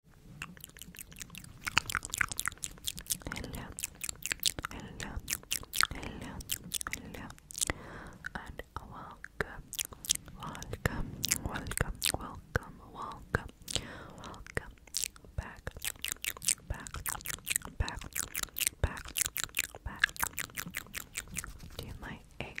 hello, hello, hello, hello, and welcome, welcome, welcome, welcome, welcome, welcome back, back, back, back, back to my egg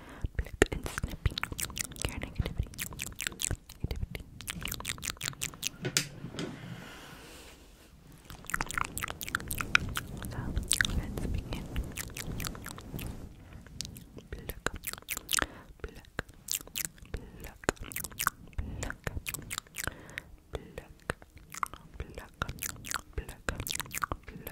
and snipping let's begin.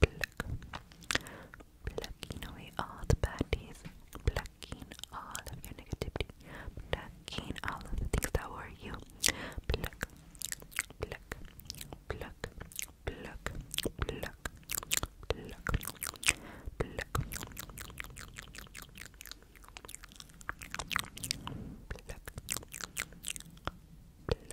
pluck. all the bad days, plucking all of your negativity, plucking all the things that worry you. Pluck, pluck, pluck, pluck, pluck, pluck, pluck. Pluck, pluck,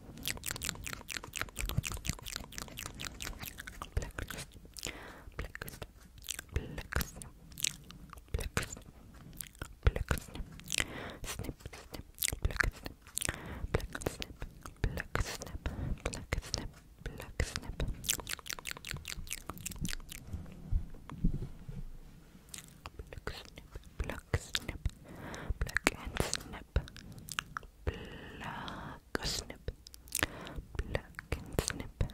Blacklist, blacklist, blacklist, blacklist, blacklist, snip, snip, blacklist, blacklist, blacklist, blacklist, blacklist, Black snip, black snip, black and snip, black pluck, snip, and snip,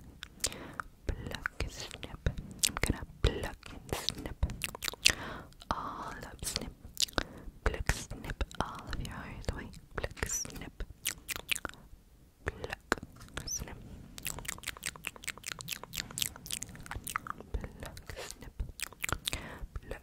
pluck and snip. I'm gonna pluck and snip all up, snip, pluck, snip all of your eyes away, pluck, snip, pluck, snip, pluck, snip, pluck,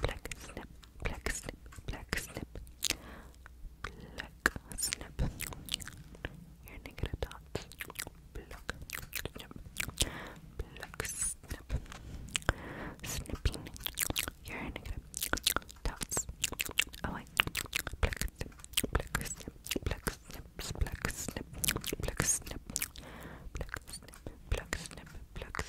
black snip, black snip, black snip, black snip. Your negative dots, black snip, black snip. Snipping your negative dots away. Oh, black snip, black snip, black snip, black snip, black snip, black snip, black snip, black snip. Black snip.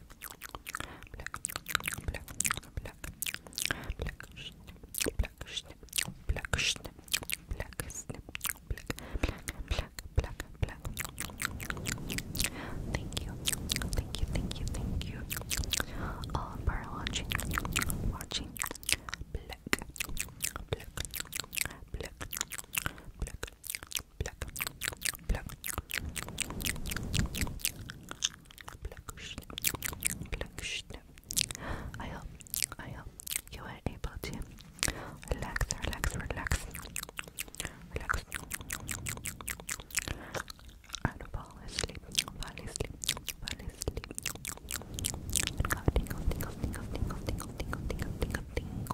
Thank you, thank you, thank you, thank you all for watching, watching. Black, black, black, black, black, black. I hope, you are able to relax, relax, relax, relax, fall asleep, fall asleep, fall asleep. And go tingle, tingle, tingle, tingle, tingle, tingle, tingle, tingle,